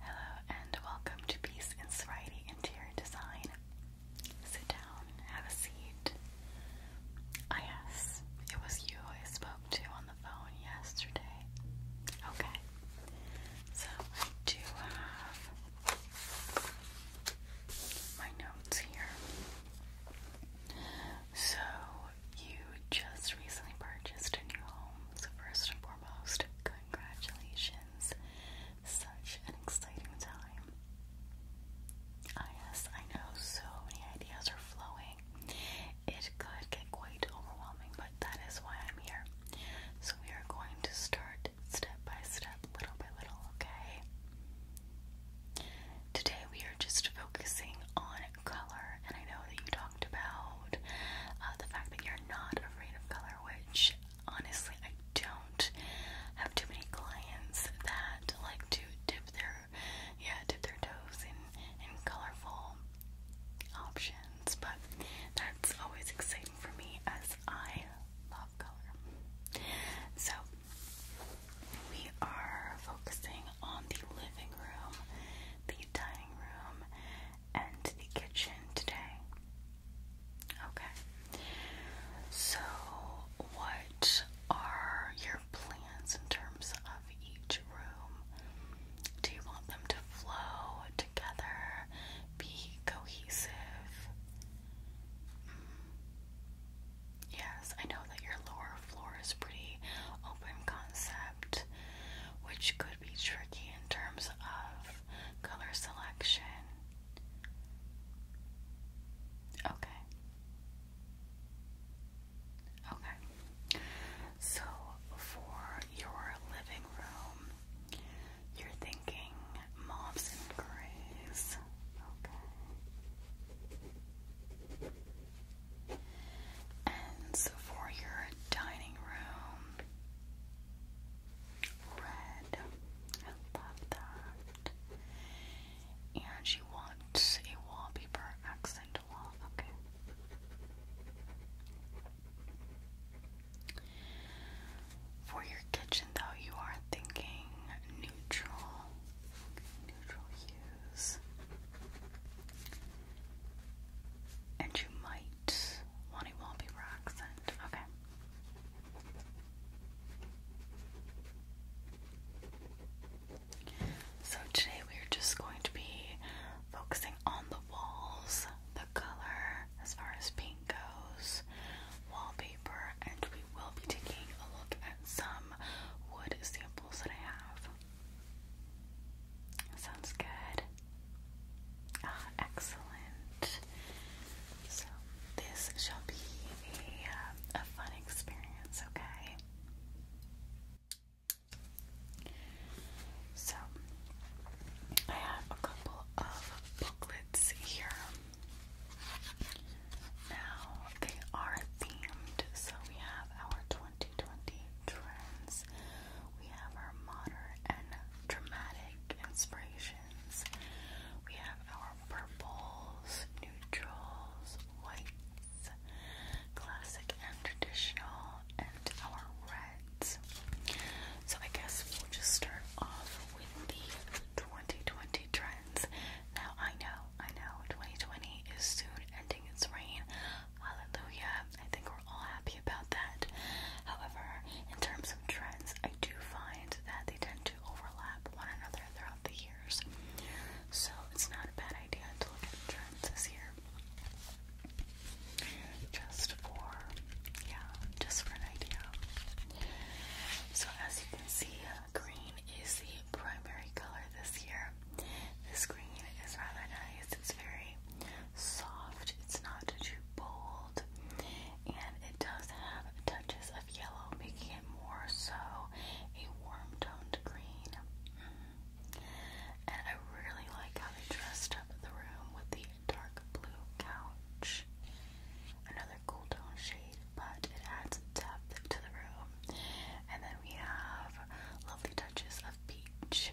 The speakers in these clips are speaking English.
Hello and welcome to Peace and Sobriety Interior Design. Sit down, have a seat. Ah, yes, it was you I spoke to on the phone yesterday. Okay, so I do have my notes here. So you just recently purchased a new home, so first foremost, congratulations. Such an exciting time. Ah, yes, I know so many ideas are flowing. It could get quite overwhelming, but that is why I'm here. So we are going to start step by step, little by little, okay? Today we are just focusing on color, and I know that you do about uh, the fact that you're not afraid of color, which honestly, I don't have too many clients that like to dip their yeah dip their toes in in colorful options, but that's always exciting for me as I love color. So we are focusing on the living room, the dining room, and the kitchen today. Okay. So, what are your plans in terms of each room? Do you want them to flow together, be cohesive? Mm. Yes, I know that your lower floor is pretty open concept, which could be tricky in terms of color selection. Okay. Okay. So for your living room, you're thinking mauves and grays. Okay. And so for your dining room, red. I love that. And she wants a wallpaper accent wall. Okay. For your kitchen, though, you are thinking neutral, neutral hues, and you might Lonnie Walby rocks Okay. So today we're just going to be focusing on the walls, the color as far as pink goes, wallpaper, and we will be taking a look at some wood samples that I have. Sounds good. Ah, excellent. So, this shall be a, uh, a fun experience, okay? So, I have a couple of booklets here. Now, they are themed, so we have our 2020 trends, we have our modern and dramatic inspirations. We have our purples, neutrals, whites, classic and traditional, and our reds. So I guess we'll just start off with the 2020 trends. Now I know, I know, 2020 is soon ending its reign. Hallelujah. I think we're all happy about that. However, in terms of trends, I do find that they tend to overlap one another throughout the years. So it's not a bad idea to look at trends this year. Just for, yeah, just for an idea. So as you can see, uh, green is the primary color this year. This green is rather nice. It's very soft, it's not too bold, and it does have touches of yellow, making it more so a warm toned green. And I really like how they dressed up the room with the dark blue couch. Another cool tone shade, but it adds depth to the room. And then we have lovely touches of peach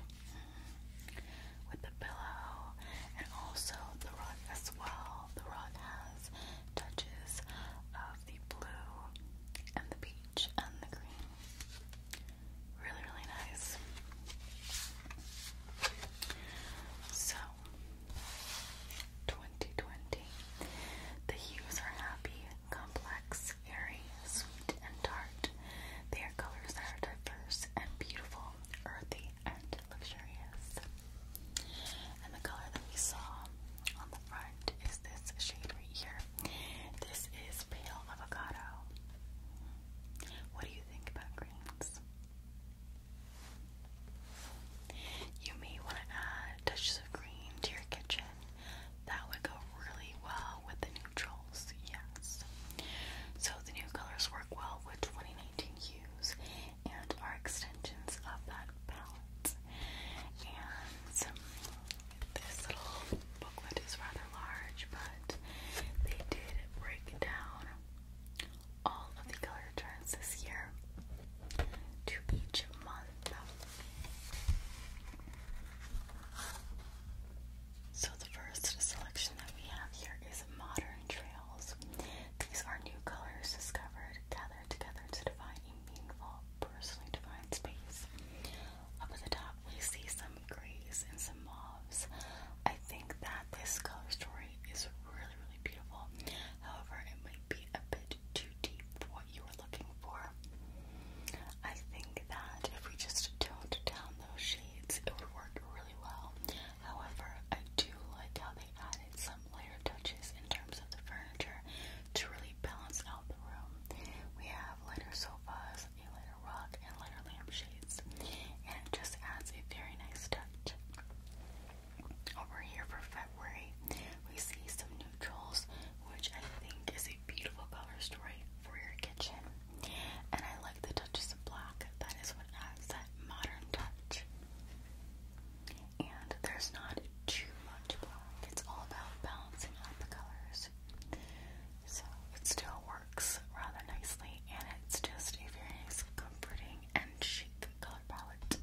with the pillow and also the rug as well. The rug has touches of the blue and the peach and the green. Really, really nice. So, 2020. The hues are happy, complex, airy, sweet, and tart. They are colors that are diverse and beautiful, earthy, and luxurious. And the color that we saw on the front is this shade right here. This is pale avocado. What do you think about greens? You may want to add touches of green to your kitchen. That would go really well with the neutrals, yes. So the new colors work well with 2019 hues and are extensions of that palette. And this little booklet is rather large, but they did break down all of the color turns this year to each month. So the first selection that we have here is Modern Trails. These are new colors discovered, gathered together to define a meaningful, personally defined space. Up at the top we see some grays and some mauves. I think that this color story is really, really beautiful. However, it might be a bit too deep for what you were looking for. I think that if we just toned down those shades, it would work really well. However, I do like how they added some layer touches in terms of the furniture to really balance out the room. We have lighter sofas, a lighter rug, and lighter lampshades, and just adds a very nice touch. Over here for February, we see some neutrals, which I think is a beautiful color story for your kitchen. And I like the touches of black. That is what adds that modern touch. And there's not too much black. It's all about balancing out the colors. So it still works rather nicely, and it's just a very nice, comforting, and chic color palette.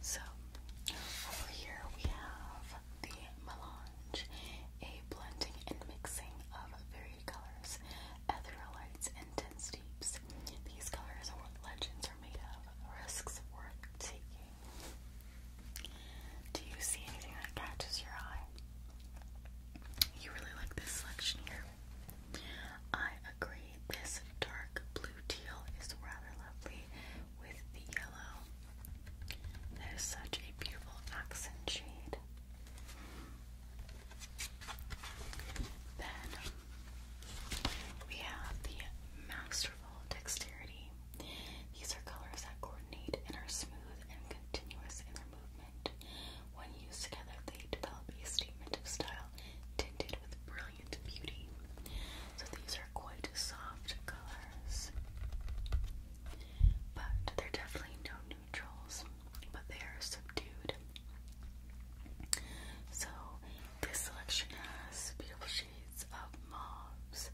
So over here we have the melange, a blending and mixing of varied colors, ethereal lights, and dense deeps. These colors are what legends are made of, risks worth taking. Do you see anything that catches your eye? You really like this selection here. I agree, this dark blue teal is rather lovely with the yellow. That is such a beautiful accent shade. Then we have the Masterful Dexterity. These are colors that coordinate and are smooth and continuous in movement. When used together, they develop a statement of style tinted with brilliant beauty. So these are quite soft colors. But they're definitely no neutrals, but they are subdued. So this selection has beautiful shades of mauves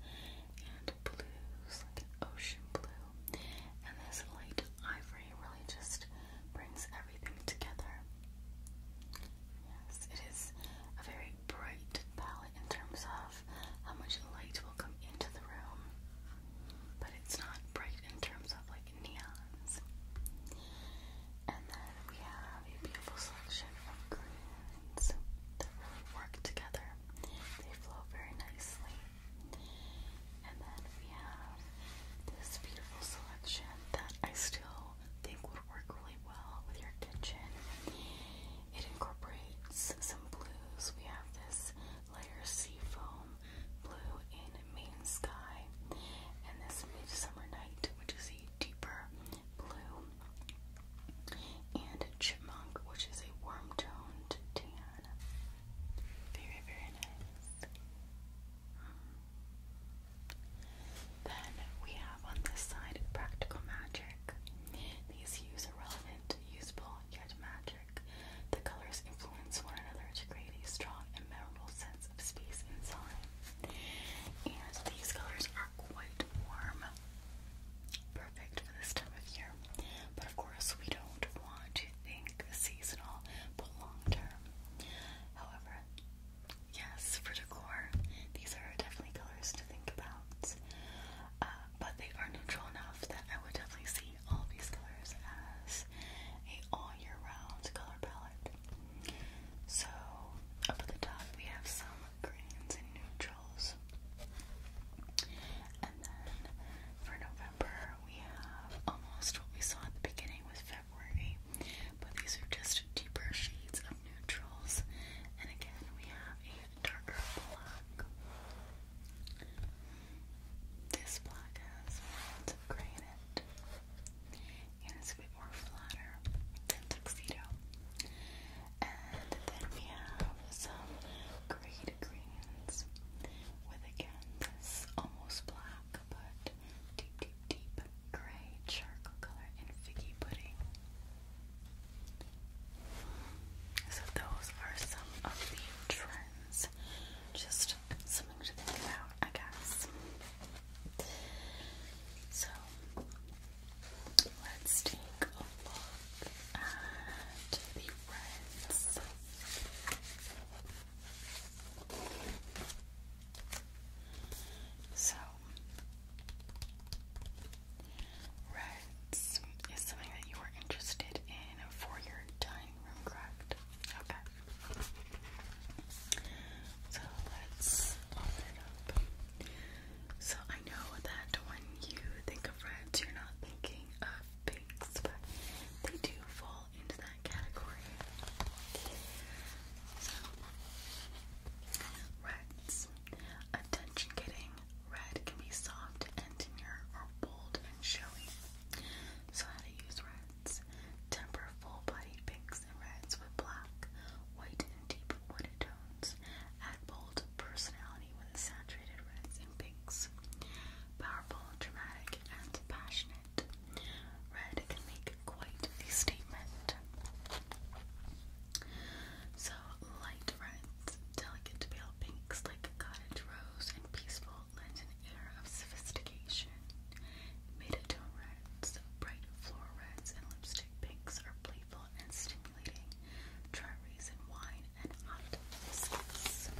and blues, like ocean blue, and this light ivory really just brings everything together. Yes, it is a very bright palette in terms of how much light will come into the room but it's not bright in terms of like neons. And then we have a beautiful selection of greens that work together. They flow very nicely. And then we have this beautiful selection that I still think would work really well with your kitchen. It incorporates some blues. We have this layer sea foam, blue in Main Sky, and this Midsummer Night, which is a deeper blue, and Chipmunk, which is a warm toned tan. Very, very nice. Um, then we have on this side Practical Magic. These hues are relevant, usable, yet magic. The colors influence one another to create a strong and memorable sense of space and time. And these colors are quite warm, perfect for this time of year. But of course, we don't want to think seasonal, but long term. However, yes, for decor, these are definitely colors to think about. Uh, but they are neutral enough that I would definitely see all these colors as a all year round color palette. So up at the top we have some greens and neutrals. And then for November we have almost what we saw at the beginning with February, but these are just deeper shades of neutrals. And again we have a darker black. This black has lots of and it's a bit more flatter than Tuxedo. And then we have some grayed greens with again this almost black but deep, deep, deep gray charcoal color in Figgy Pudding. So those are some of the trends. Just something to think about, I guess. So let's take a look at the trends. So Reds is something that you were interested in for your dining room, correct? Okay. So let's open it up. So I know that when you think of reds, you're not thinking of pinks, but they do fall into that category. So, reds, attention getting, Red can be soft and demure or bold and showy. So how to use reds. Temper full-bodied pinks and reds with black, white, and deep wooded tones. Add bold personality with saturated reds and pinks. Powerful, dramatic, and passionate. Red can make quite a statement. So light reds, delicate pale pinks like cottage rose, and peaceful lent an air of sophistication. mid reds, bright floral and lipstick pinks are playful and stimulating. Try raisin wine and hot biscuits.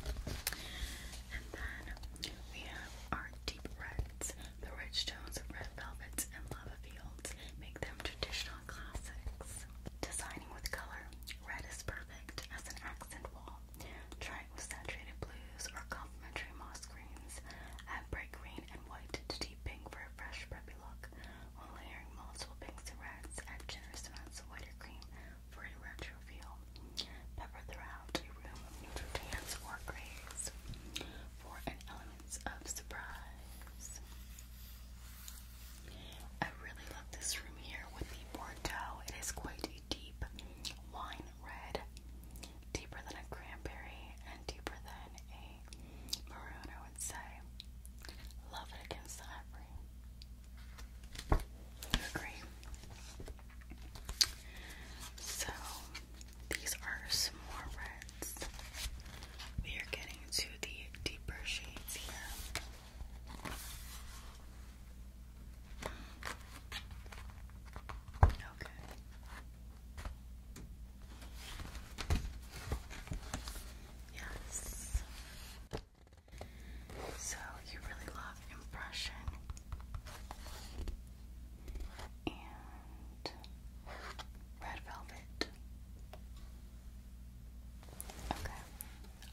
And then we have our deep reds. The rich tones of red velvets and lava fields make them traditional classics. Design lining with color. Red is perfect as an accent wall. Try it with saturated blues or complementary moss greens. Add bright green and white to deep pink for a fresh, preppy look. When layering multiple pinks and reds, add generous amounts of white or cream for a retro feel. Pepper throughout a room of neutral tans or grays for an element of surprise. I really love this room here with the Bordeaux. It is quite a deep wine red, deeper than a cranberry and deeper than a maroon, I would say. Love it against the ivory. You agree? So, these are some more reds. We are getting to the deeper shades here. Okay. Yes. So you really love impression and red velvet. Okay.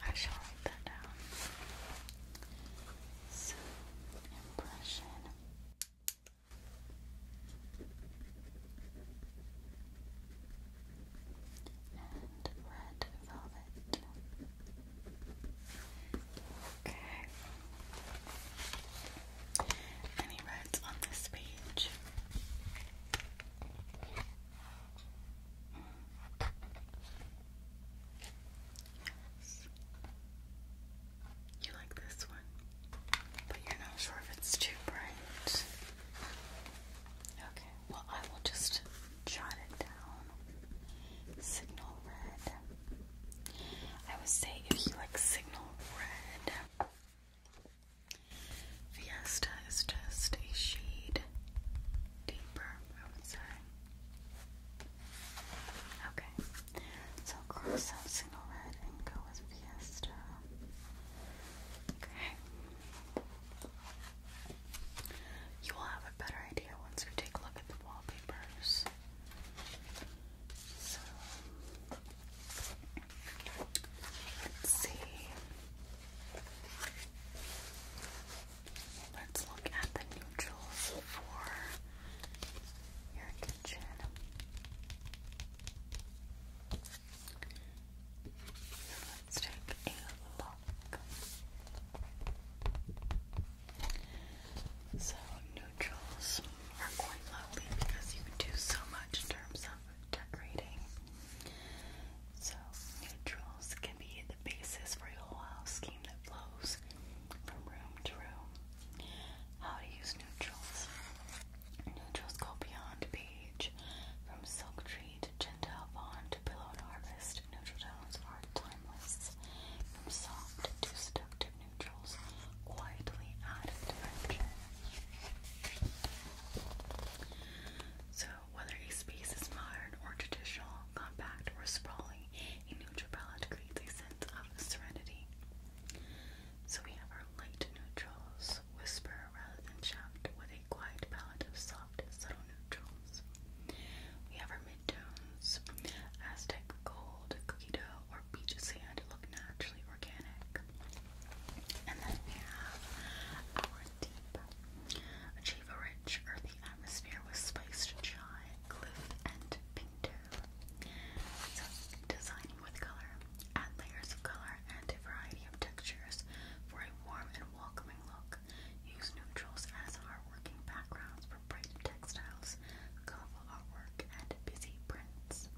I shall write that down. So, impression. And red velvet. Okay. Any reds on this page? Yes. You like this one, but you're not sure if it's too bright. Okay, well, I will just jot it down. Signal red. I would say if you like signal red, Fiesta is just a shade deeper, I would say. Okay, so cross out single red and go with Fiesta. Okay. You will have a better idea once you take a look at the wallpapers. So, let's see. Let's look at the neutrals for your kitchen. Let's take a look. So neutrals are quite lovely because you can do so much in terms of decorating so, neutrals can be the basis for a whole house scheme that flows from room to room. How to use neutrals. Neutrals go beyond page. From Silk Tree to gentle Fawn to Pillow and Harvest, neutral tones are timeless. From soft to seductive neutrals, quietly add dimension. So whether a space is modern or traditional, compact or sprawling, a neutral palette creates a sense of serenity. So we have our light neutrals, whisper rather than shout, with a quiet palette of soft, subtle neutrals. We have our mid tones: Aztec gold, cookie dough, or beach sand look naturally organic. And then we have our deep achieve a rich, earthy atmosphere was spiced chai, glyph, and pinto. So, designing with color. Add layers of color and a variety of textures for a warm and welcoming look. Use neutrals as our working backgrounds for bright textiles, colorful artwork, and busy prints.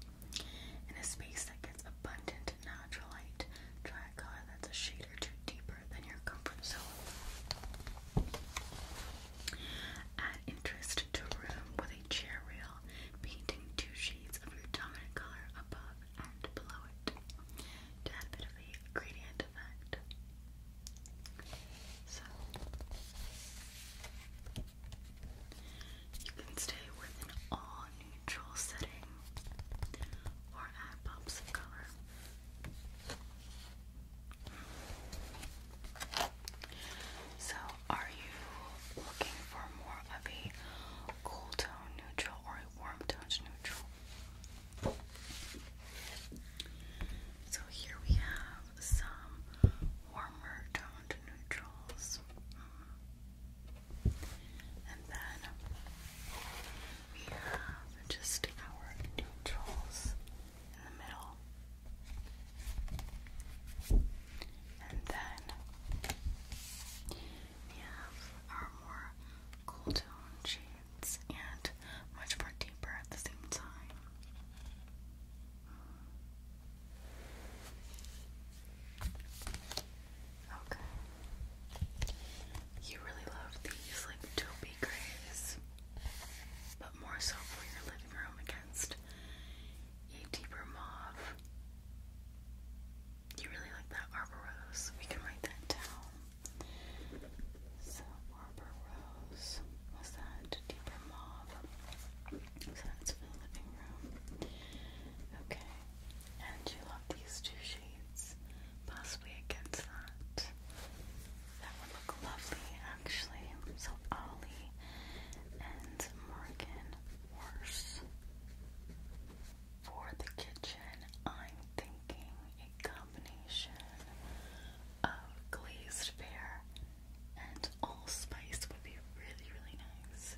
In a space that gets abundant natural light. Try color that's a shade or two deeper than your comfort zone. Add interest to room with a chair rail, painting two shades of your dominant color above and below it to add a bit of a gradient effect. So, you can stay within all neutral setting or add pops of color. So, are you looking for more of a cool tone neutral or a warm tone neutral? So, here we have some warmer toned neutrals. And then we have just our neutrals in the middle. And then we have our more cool tone shades and much more deeper at the same time. Okay. You really love these like taupey grays, but more so for your living room against a deeper mauve. You really like that arbor rose. We can write that down. So arbor rose. Was that deeper mauve? So that's for the living room. Okay. And you love these two shades. Possibly against that. That would look lovely actually. So Ollie and Morgan worse. For the kitchen, I'm thinking a combination of glazed pear and allspice would be really, really nice.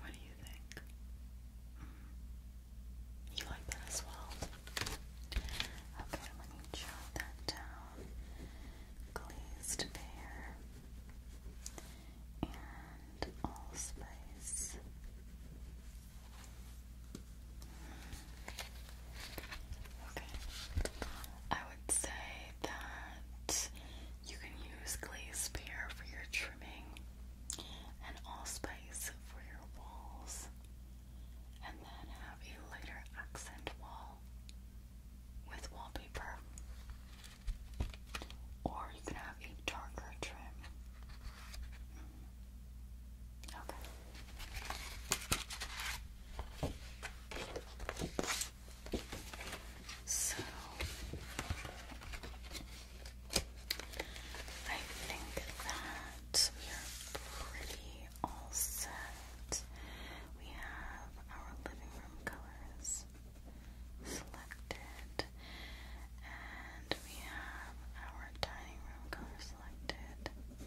What do you you mm. You like that as well? Okay, let me jot that down. Glazed pear and allspice. Mm. Okay. I would say that you can use glaze pear for your trimming and allspice for your walls, and then have a lighter accent wall with wallpaper. Or you can have a darker trim. Okay. So I think that we are pretty all set. We have our living room colors selected, and we have our dining room color selected. And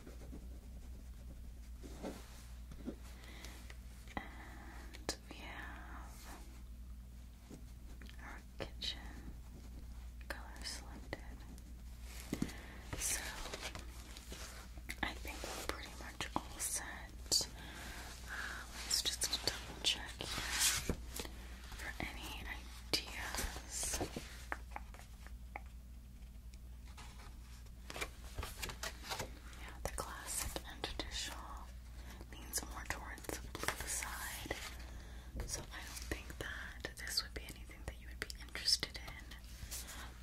we have our kitchen color selected. So I think we're pretty much all set. Uh, let's just double check for any ideas. Yeah, the classic and traditional leans more towards the side. So I don't think that this would be anything that you would be interested in.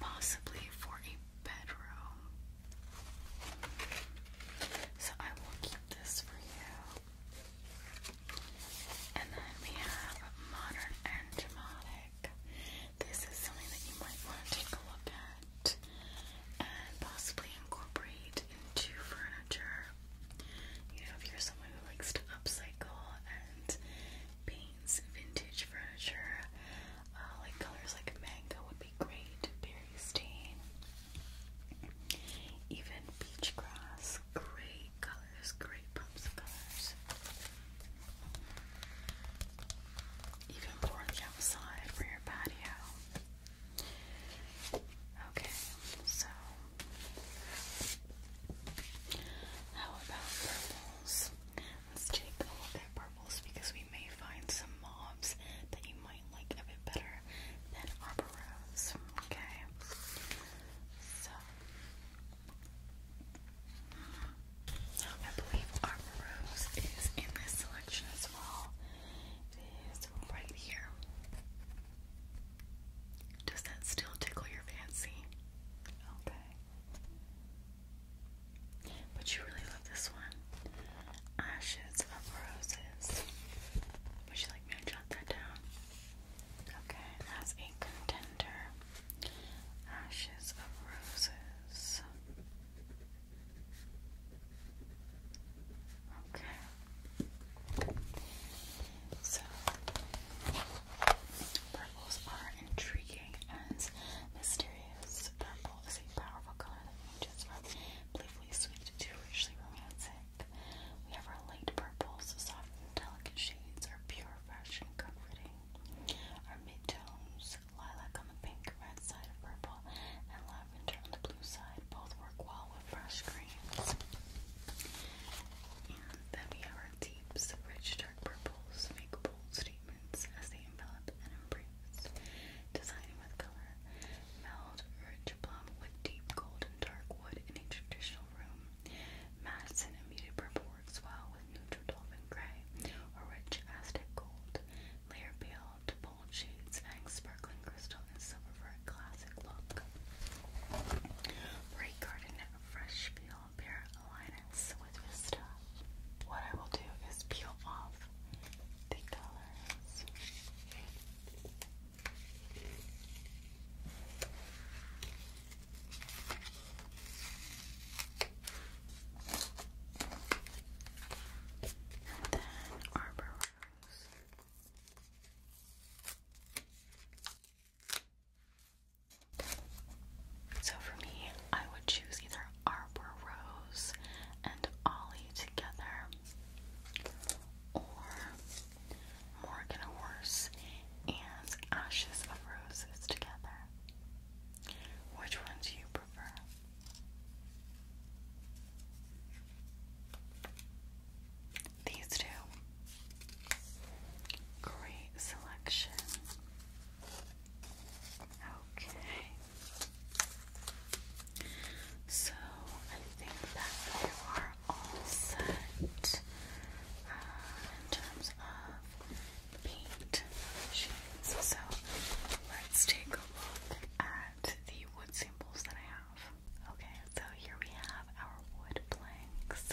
Possibly for a bedroom. So I will keep this for you. And then we have modern and dramatic. This is something that you might want to take a look at and possibly incorporate into furniture. You know, if you're someone who likes to upcycle and paints vintage furniture, uh, like colors like mango would be great, berry stain, even peach grass, great colors, great pumps of colors. Even for the outside for your patio. Okay, so how about purples? Let's take a look at purples because we may find some mobs that you might like a bit better than arboros. Okay, so I believe arboros is in this selection as well is right here. Does that still tickle your fancy? Okay. But you really love this one. Ashes of Roses. Would you like me to jot that down? Okay, that's a contender. Ashes of Roses. Okay. So, purples are intriguing and mysterious. Purple is a powerful color that ranges from playfully sweet to richly romantic. We have our light purples, soft and delicate shades are pure, fresh, and comforting. Our mid tones, lilac on the pink, red side of purple, and lavender on the blue side. Both work well with fresh greens. And then we have our deeps, rich dark purples, make bold statements as they envelop and embrace. Designing with color, meld rich plum with deep golden dark wood in a traditional room. Madison and muted purple works well with neutral dolphin gray or rich Aztec gold. Layer peeled, bold shades, and sparkling crystal and silver for a classic look. Bright garden, fresh feel, bare alignments with Vista. What I will do is peel off the colors. And then Arbor so for me, I would choose either Arbor Rose and Ollie together, or Morgan Horse and Ashes of Roses together. Which one do you prefer? These two. Great selection. Okay. So I think that you are all set uh, in terms of paint sheets. So let's take a look at the wood samples that I have. Okay, so here we have our wood planks.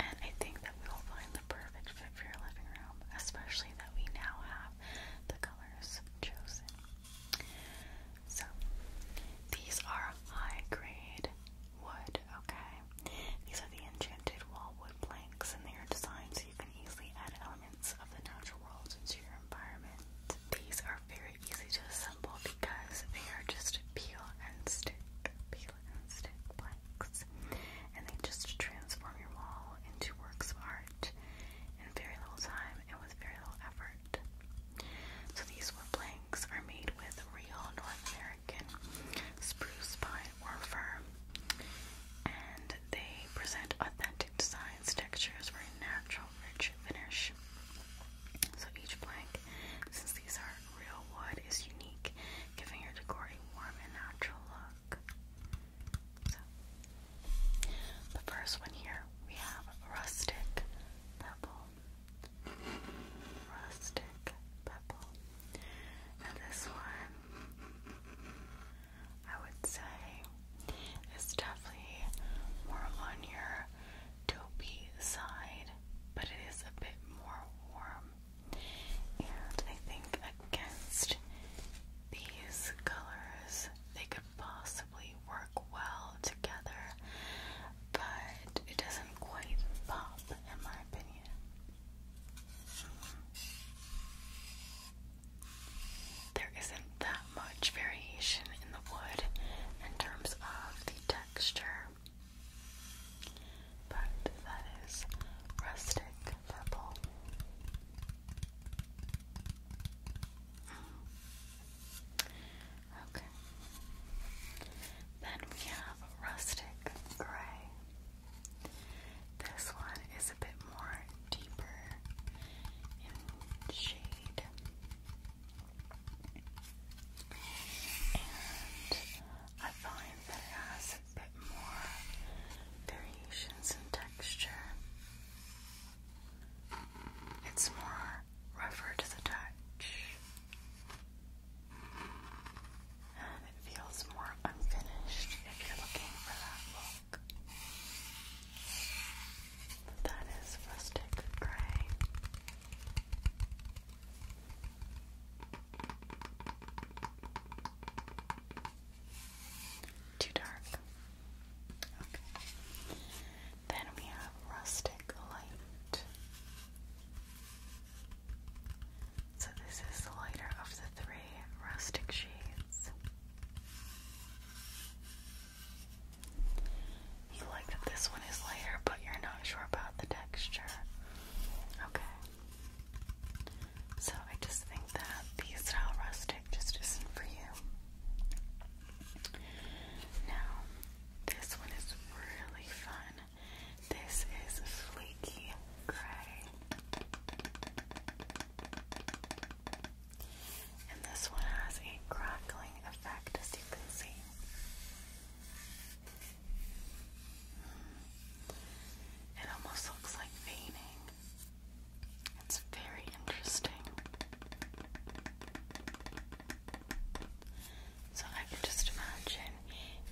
And I think that we will find the perfect fit for your living room, especially that we now have the colors chosen. So, these are high grade wood, okay? These are the enchanted wall wood planks, and they are designed so you can easily add elements of the natural world into your environment. These are very easy to assemble because they are just peel and stick, peel and stick blanks, and they just transform your wall into works of art in very little time and with very little effort. So these wood planks are made with real North American spruce pine or fir, and they present authentic designs, textures, very natural finish. So each plank, since these are real wood, is unique, giving your decor a warm and natural look. So, the first one here, we have rustic pebble. Rustic pebble. Now this one, I would say it's definitely more on your dopey side, but it is a bit more warm. And I think against these colors, they could possibly work well together, but it doesn't quite pop, in my opinion. There isn't that much variation in the wood in terms of the texture, but that is rustic purple. Mm. Okay. Then we have rustic gray. This one is a bit more deeper in shade. I find that it has a bit more variations in texture. It's more rougher to the touch. And it feels more unfinished if you're looking for that look. That is rustic gray. Too dark. Okay. Then we have rustic light. So this is the lighter of the three rustic shades. You like that this one is lighter, but you're not sure about the texture. Okay. So I just think that the style rustic just isn't for you. Now, this one is really fun. This is fleeky gray. And this one has a crackling effect, as you can see. It almost looks like veining. It's very interesting. So I can just imagine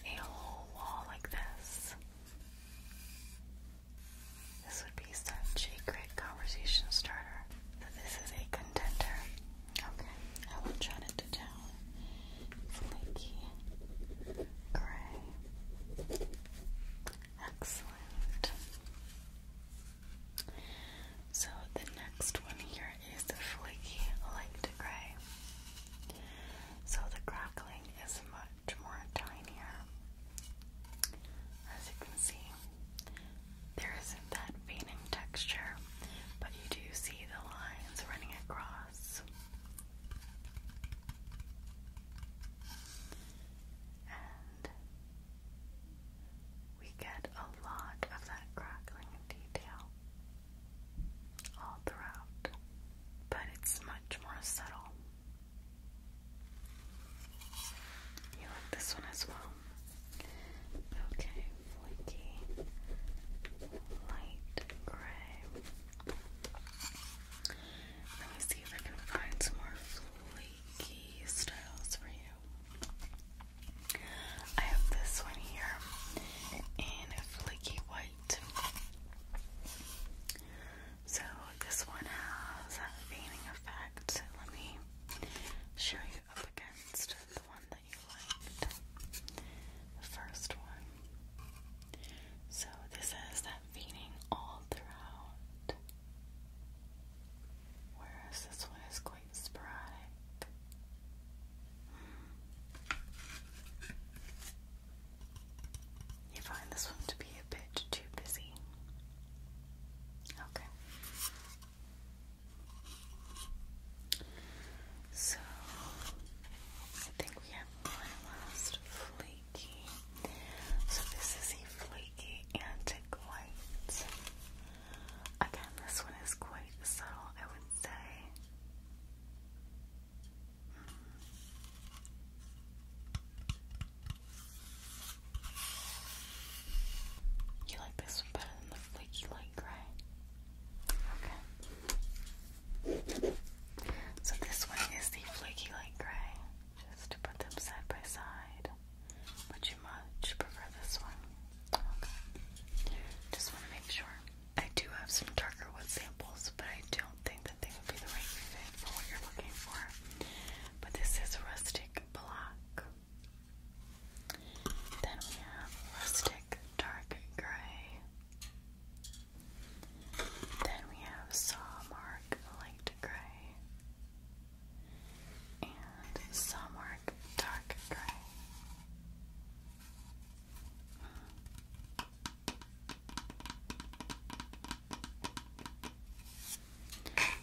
a whole wall like this. This would be such a great conversation starter. this is a contender. Okay, I will jot it to Flaky gray. Excellent. So the next one here is the flaky light gray. So the crackling is much more tinier. As you can see, there isn't that veining texture, but you do see the lines running across. And we get a lot of that crackling detail all throughout, but it's much more subtle. You like this one as well? Okay, flaky, light gray. Let me see if I can find some more flaky styles for you. I have this one here in a white. So this one has a veining effect. Let me Sure, you up against the one that you liked. The first one. So this has that feeding all throughout. Whereas this one is quite sporadic. Hmm. You find this one to be a bit too busy. Okay. So I think we have one last flaky. So this is a flaky antique white. Again, this one is quite subtle, I would say. Hmm. You like this one better than the flaky light gray? Okay. So this one is the flaky light gray. Just to put them side by side. But you much prefer this one. Okay. Just want to make sure. I do have some darker wood samples, but I don't think that they would be the right fit for what you're looking for. But this is rustic black. Then we have rustic dark gray. Then we have saw mark light gray. And saw mark dark gray. Okay,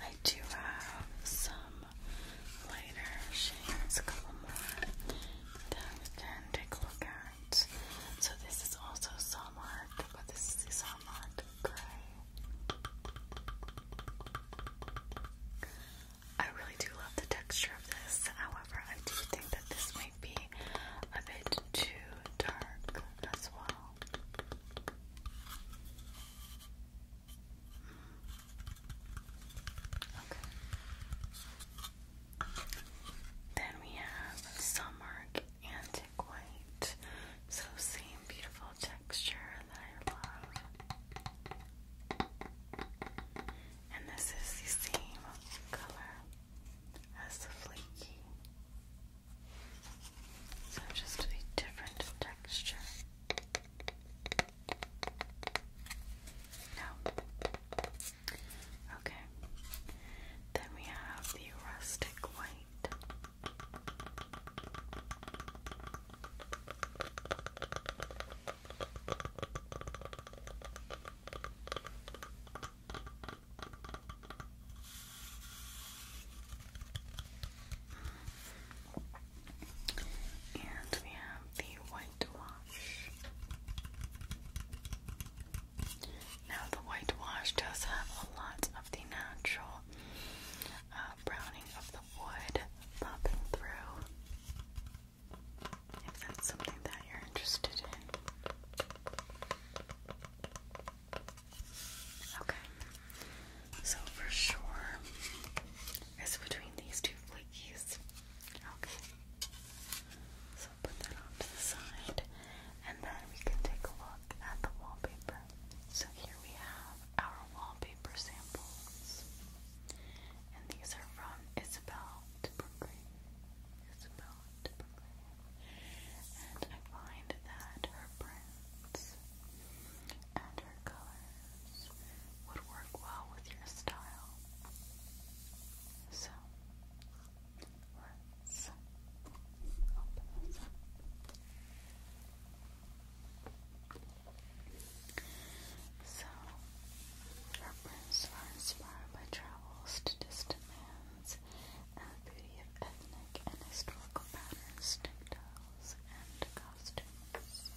I do have some lighter shades, a couple more that we take a look at. So this is also Somart, but this is the Gray. I really do love the texture of this, however, I do think that this might be a bit too dark as well. Okay. Then we have Sunmark Antique White. So same beautiful texture that I love. And this is the same color as the flaky. So just a different texture. No. Okay. Then we have the rustic white. And we have the whitewash. Now, the whitewash does have a lot of the natural uh, browning of the wood popping through. If that's something that you're interested in. Okay. So for sure, it's between these two flakies. Okay. So put that off to the side, and then we can take a look at the wallpaper. So here we have our wallpaper samples, and these are from Isabel Dupergrey. Isabel Dupergrey, and I find that her prints and her colors would work well with your style. So So, our prints are inspired by travels to distant lands patterns, beauty of ethnic and historical patterns, textiles, and costumes. is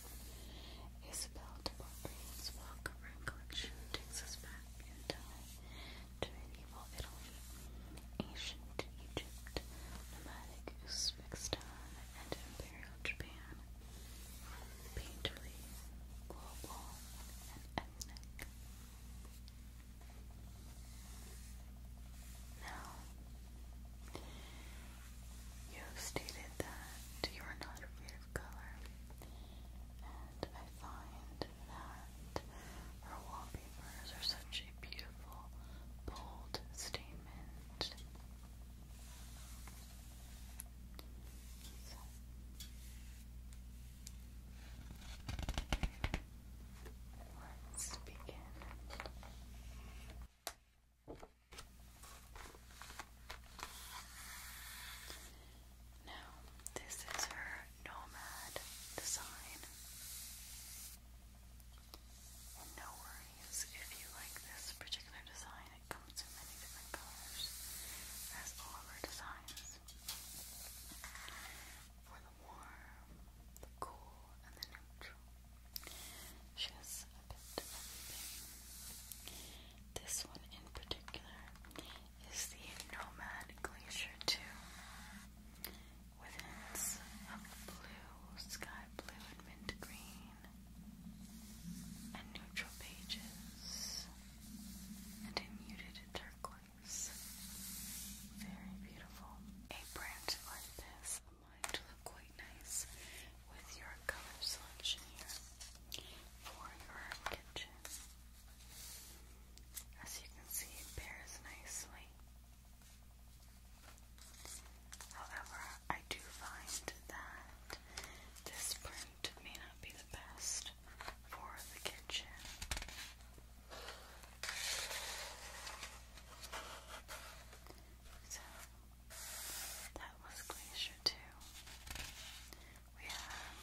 Isabel de Beaupre's Welcome Room collection takes us back in time to medieval Italy, ancient Egypt, nomadic Uzbekistan, and imperial Japan. Painterly, global, and ethnic. Now, you stated that you are not afraid of color, and I find that our wallpapers are such a beautiful, bold statement. Let's begin. Now, this is her nomad design. no worries if you like this particular design, it comes in many different colors, as all of her designs warm, the cool, and the neutral. She has a bit of everything. This one in particular is the Nomad Glacier 2 with hints of blue, sky blue, mint green, and neutral pages, and a muted turquoise. Very beautiful. A branch or this might look quite nice with your color selection here for your kitchen. As you can see, it pairs nicely. However, I do find that this print may not be the best for the kitchen. So that was Glacier 2. We have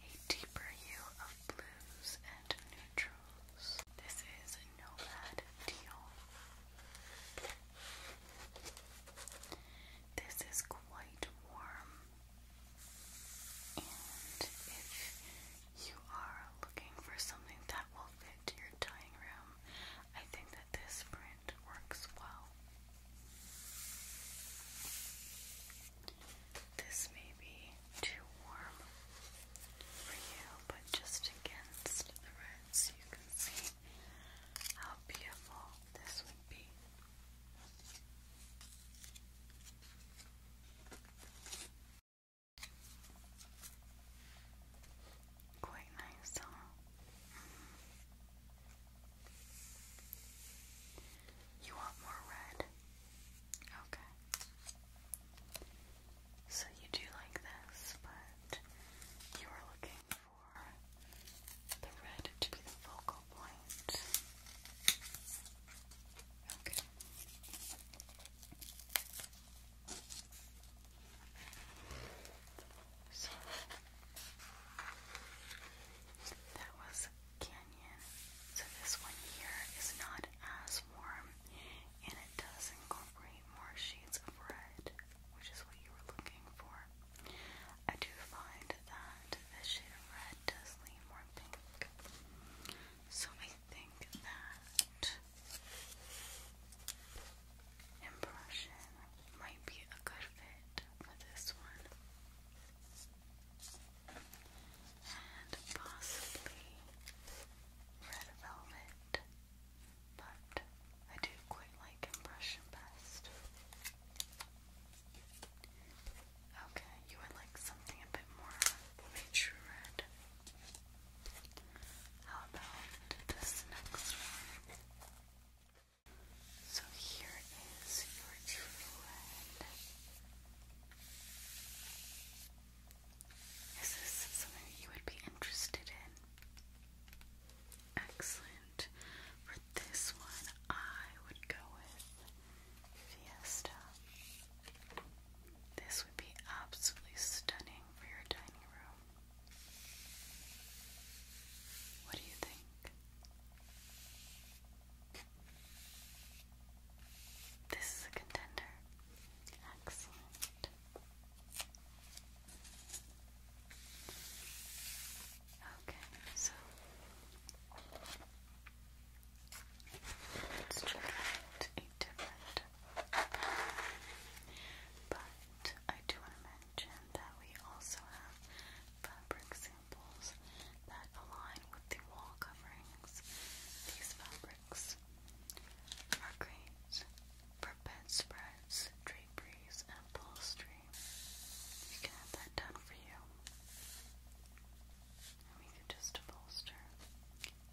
a deeper hue of blues and neutrals. This is Nomad Teal. This is quite warm. And if you are looking for something that will fit your dining room, I think that this print works well. This may be too warm for you, but just against the reds, you can see how beautiful this would be. Quite nice, huh? Mm-hmm. You want more red? Okay. So you do like this, but you are looking for the red to be the focal point. Okay. So that was Canyon. So this one here is not as warm and it does incorporate more shades of red, which is what you were looking for. I do find that this shade of red does lean more pink. So I think that impression might be a good fit for this one. And possibly red velvet, but I do quite like impression best. Okay, you would like something a bit more of how about this next one? So here is your true Is this something that you would be interested in? Excellent. For this one, I would go with Fiesta. This would be absolutely stunning for your dining room. What do you think? This is a contender. Excellent. Okay, so let's try a different but I do want to mention that we also have fabric samples that align with the wall coverings. These fabrics are great for bedspreads, draperies, and upholstery. You can have that done for you. And we can just upholster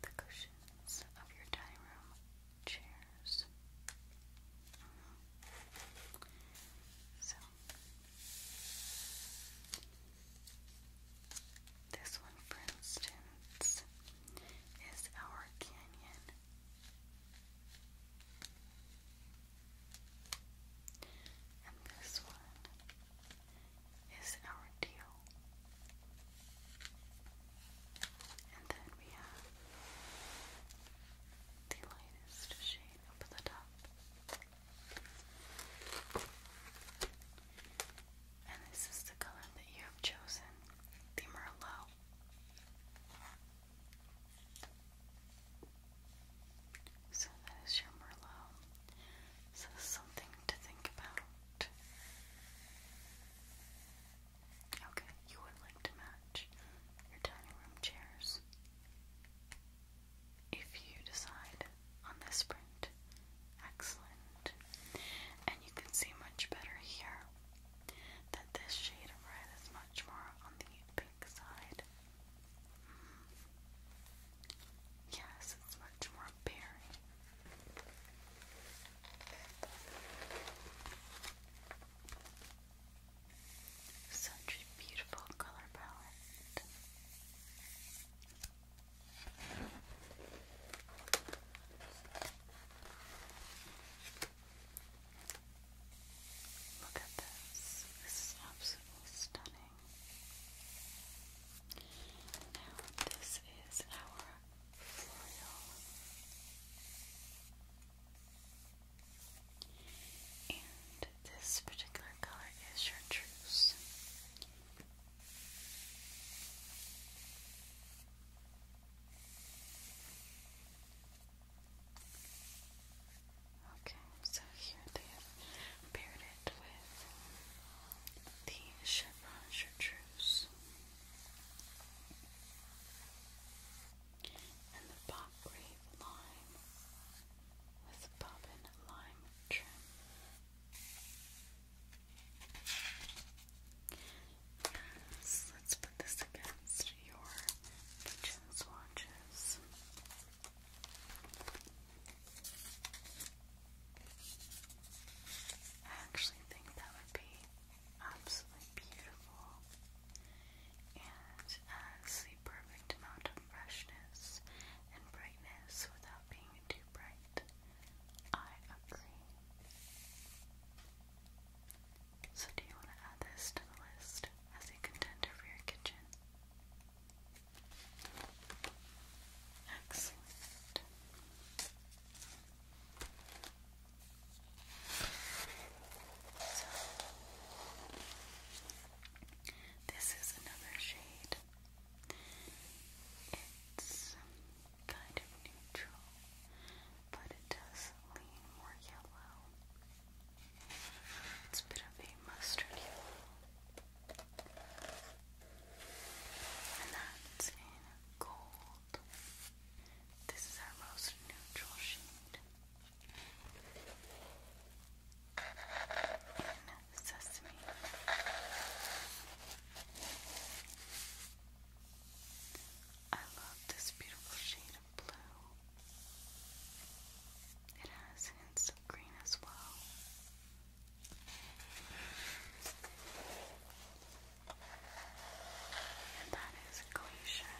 the cushion of your dining room chairs. So, this one, for instance, is our canyon. And this one is our deal. And then we have the lightest shade up the top. And this is the color that you have chosen, the Merlot. So that is your Merlot. So something to think about. Okay, you would like to match your dining room chairs. If you decide on this print, excellent. And you can see much better here that this shade of red is much more on the pink side. Mm. Yes, it's much more berry. Such a beautiful color palette. Look at this. This is absolutely stunning. this is our and this particular color is chartreuse. Okay, so here they have paired it with the Pause your truce. And the Pop Lime with Bobbin Lime Trim. let's put this against your Kitchen swatches. I actually think that would be absolutely beautiful and the perfect amount of freshness and brightness without being too bright. I agree. So, do you want to add this to the list as a contender for your kitchen? Excellent this is another shade. It's kind of neutral, but it does lean more yellow. It's a bit of a mustard yellow. And that's in gold. This is our most neutral shade. sesame. I love this beautiful shade of blue. It has hints of green as well. And that is Glacier.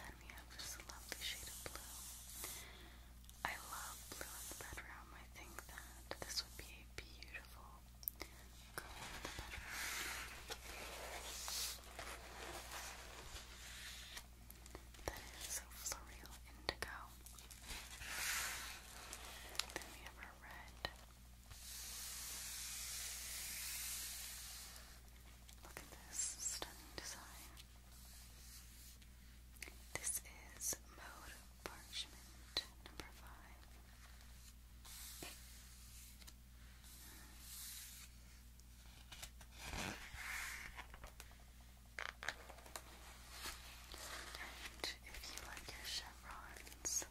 then we have this lovely shade of blue. I love blue in the bedroom. I think that this would be a beautiful color in the bedroom. That is so Floreal Indigo. Then we have our red. Look at this stunning design. This is Mode Parchment number five if you like your chevrons,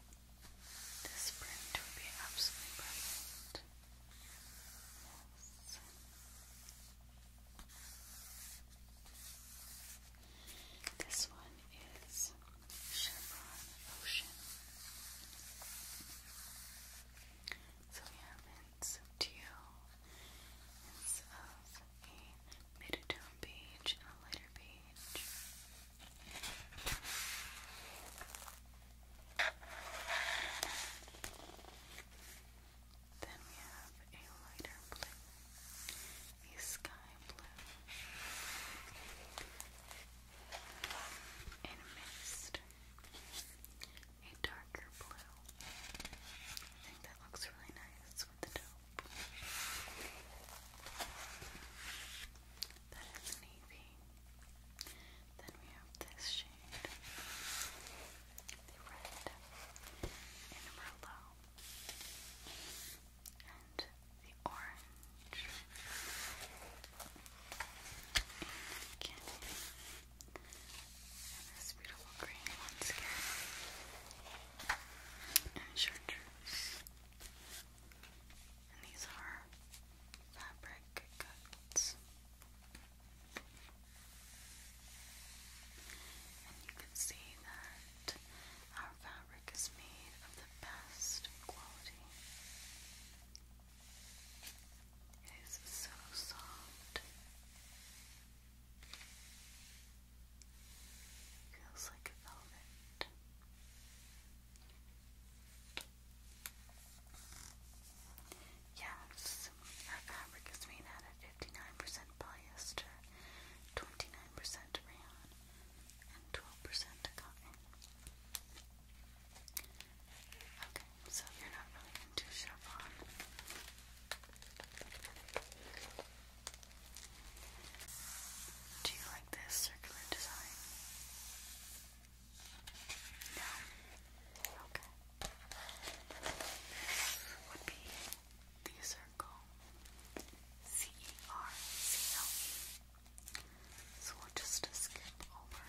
this print would be absolutely perfect. This one is Chevron Ocean. So we have hints of teal, hints of a mid-tone beige and a lighter beige. Then we have a lighter blue, a sky blue, and mist, a darker blue. I think that looks really nice the dough. That is navy. Then we have this shade, the red in Merlot, and the orange in this beautiful green once again and chartreuse. these are fabric cuts. And you can see that our fabric is made of the best quality. It is so soft. Feels like velvet. Yes, our fabric is made out of 59% polyester, 29% rayon, and 12% cotton. Okay, so you're not really into chiffon. Do you like this circular design? No? Okay. This would be the circle C E R C L E. So we'll just skip over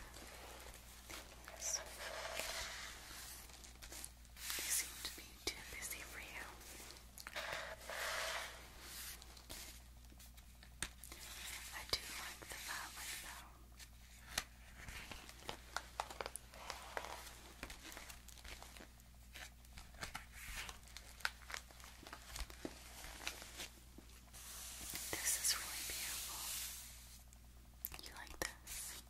these. They seem to be too busy for you. I do like the valley though. This is really beautiful. You like this?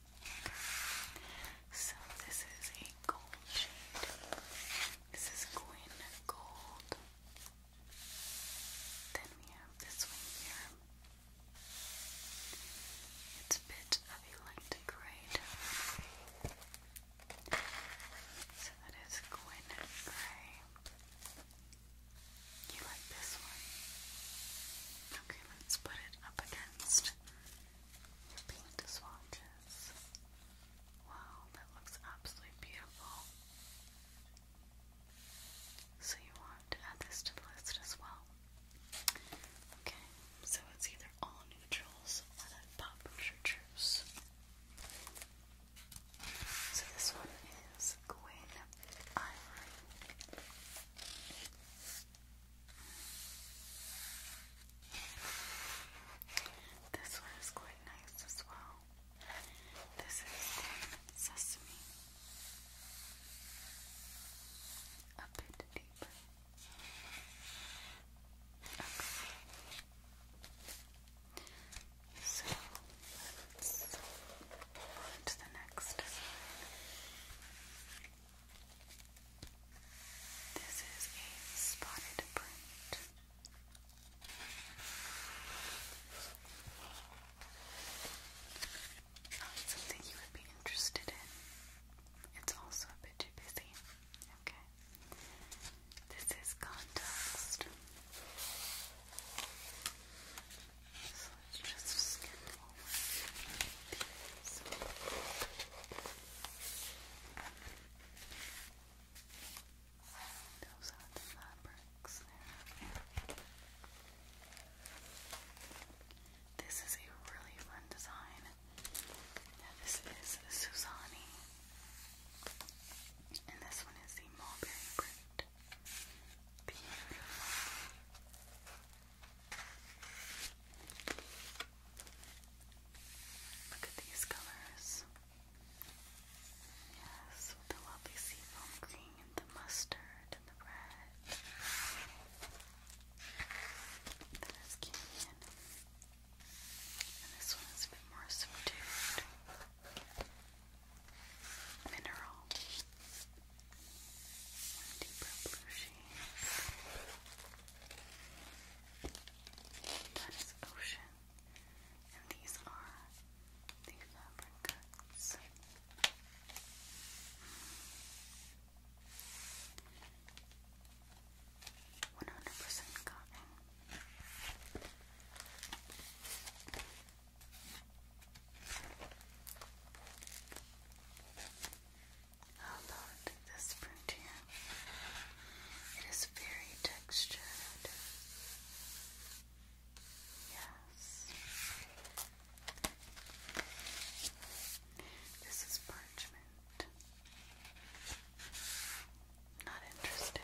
So this is a gold shade. This is Gwyn Gold. Then we have this one here. It's a bit of a light So that is Gwyn Grey. You like this one? Okay, let's put it up against pink swatches. Wow, that looks absolutely beautiful. So you want to add this to the list as well. Okay, so it's either all neutrals or that pop chartreuse. So this one is Gwen Ivory. This one is quite nice as well. This is sesame. A bit deeper. Okay. So let's move on the next this is a spotted print. Not oh, something you would be interested in. It's also a bit too busy. Okay. This is context. So let's just skim over these. Those fabrics there. This is a really fun design. this is Susani. And this one is the mulberry print. Beautiful. Look at these colors. Yes, the lovely seafoam green the mustard and the red. That is canyon. And this one is a bit more subdued. Mineral. One deeper blue shade. That is ocean. And these are the fabric cuts. One hundred percent cotton about this print here? It is very textured. Yes. This is parchment. Not interested.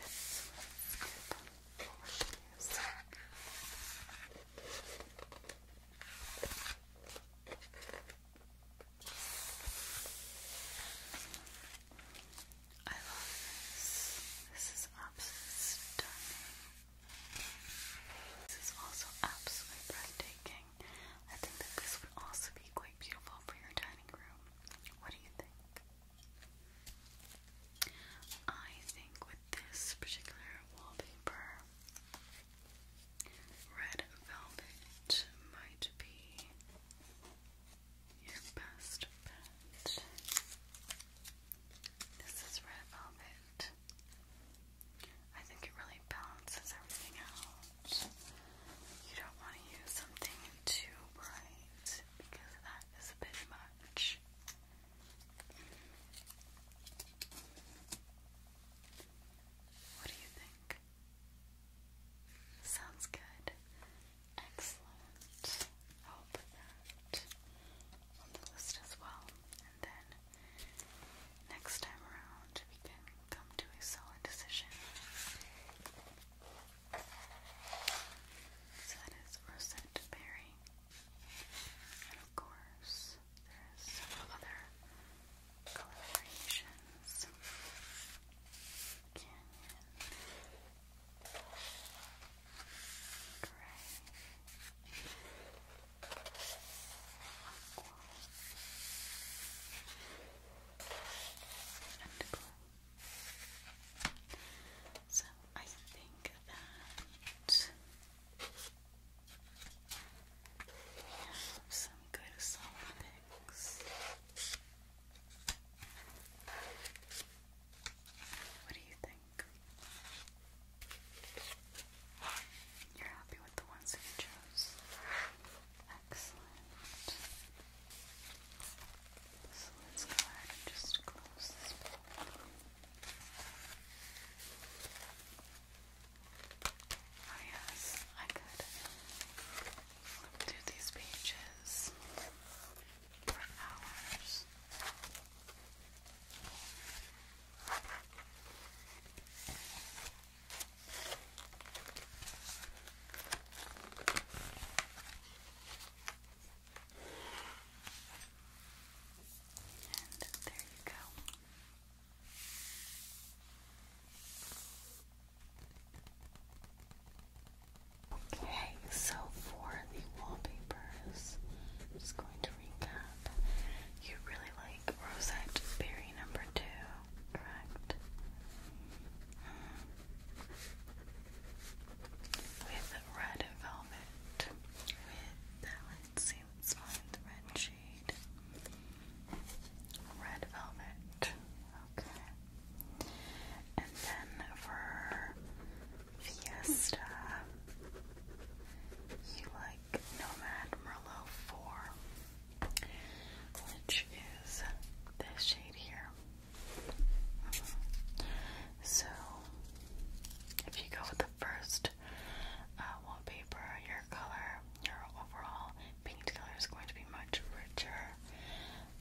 I love this. This is absolutely stunning. This is also absolutely breathtaking. I think that this would also be quite beautiful for your dining room. What do you think? I think with this particular wallpaper, Red Velvet might be your best bet. This is Red Velvet. I think it really balances everything out. You don't want to use something too bright because that is a bit much. What do you think? Sounds good. Excellent. i that on the list as well. And then next time around, we can come to a solid decision. So that is Rosette And of course, there's several other Colorations Canyon Gray Aqua and blue. So I think that some good Solid picks. What do you think? You're happy with the ones that you chose? Excellent. So let's go ahead and just close this book. Oh yes, I could flip these pages for hours. And there you go. Okay, so for the wallpapers, I'm just going to recap. You really like Rosette Berry number two, correct? With red velvet. With, let's see, let's find the red shade. Red Velvet. Okay. And then for Fiesta, you like Nomad Merlot 4, which is this shade here. Mm-hmm. So, if you go with the first uh, wallpaper, your color your overall paint color is going to be much richer.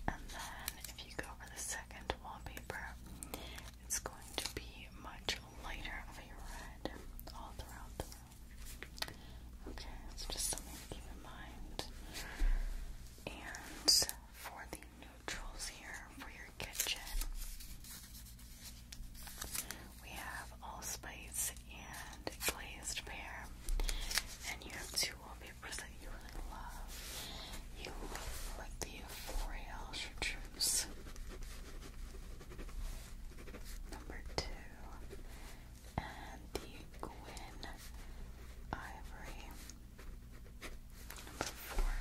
And then if you go for the second wallpaper, it's going to be much lighter of a red all throughout the room. Okay, so just something to keep in mind. And for the neutrals here for your kitchen, we have allspice and glazed pear. And you have two wallpapers that you really love. You like the Euphoria Chartreuse. Number two. And the Gwyn Ivory. Number four.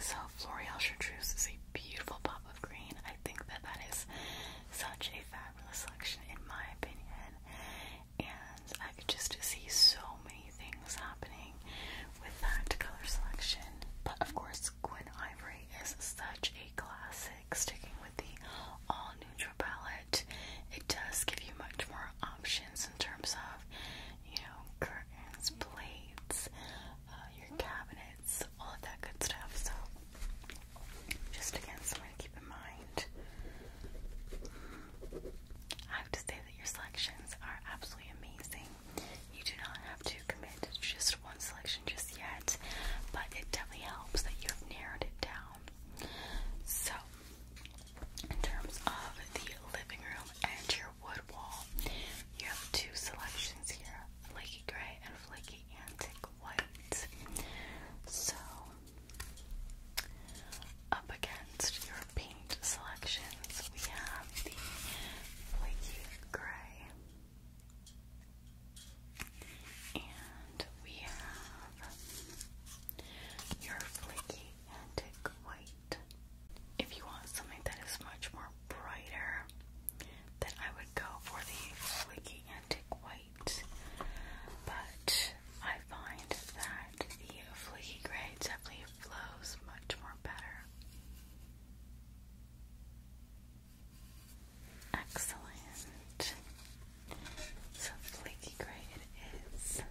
So L'Oreal Chartreuse is a beautiful pop of green. I think that that is such a fabulous selection, in my opinion. And I could just see so many things happening with that color selection. But of course, Gwen Ivory is such a classic. Sticking with the all neutral palette, it does give you much more options in terms of, you know, curtains, plates, uh, your cabinets, all of that good stuff. So just again, something to keep in mind. I have to say that your selections are absolutely amazing. You do not have to commit just one selection just yet, but it definitely helps that you have narrowed it down. So, in terms of the living room and your wood wall, you have two selections here flaky gray and flaky antique white. So, up against your paint selections, we have the flaky gray, and we have your flaky antique white. If you want something that is much more brighter, then I would go for the flaky antique white but I find that the fleeky gray definitely flows much more better. Excellent. So flaky gray it is.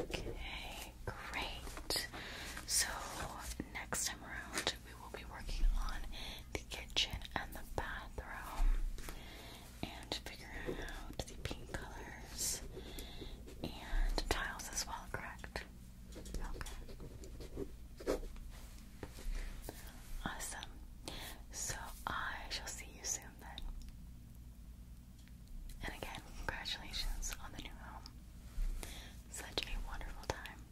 Okay, great. So next time around we will be working on the kitchen and the bathroom and figuring out the paint colors and tiles as well, correct? Okay. Awesome. So I shall see you soon then. And again, congratulations on the new home. Such a wonderful time.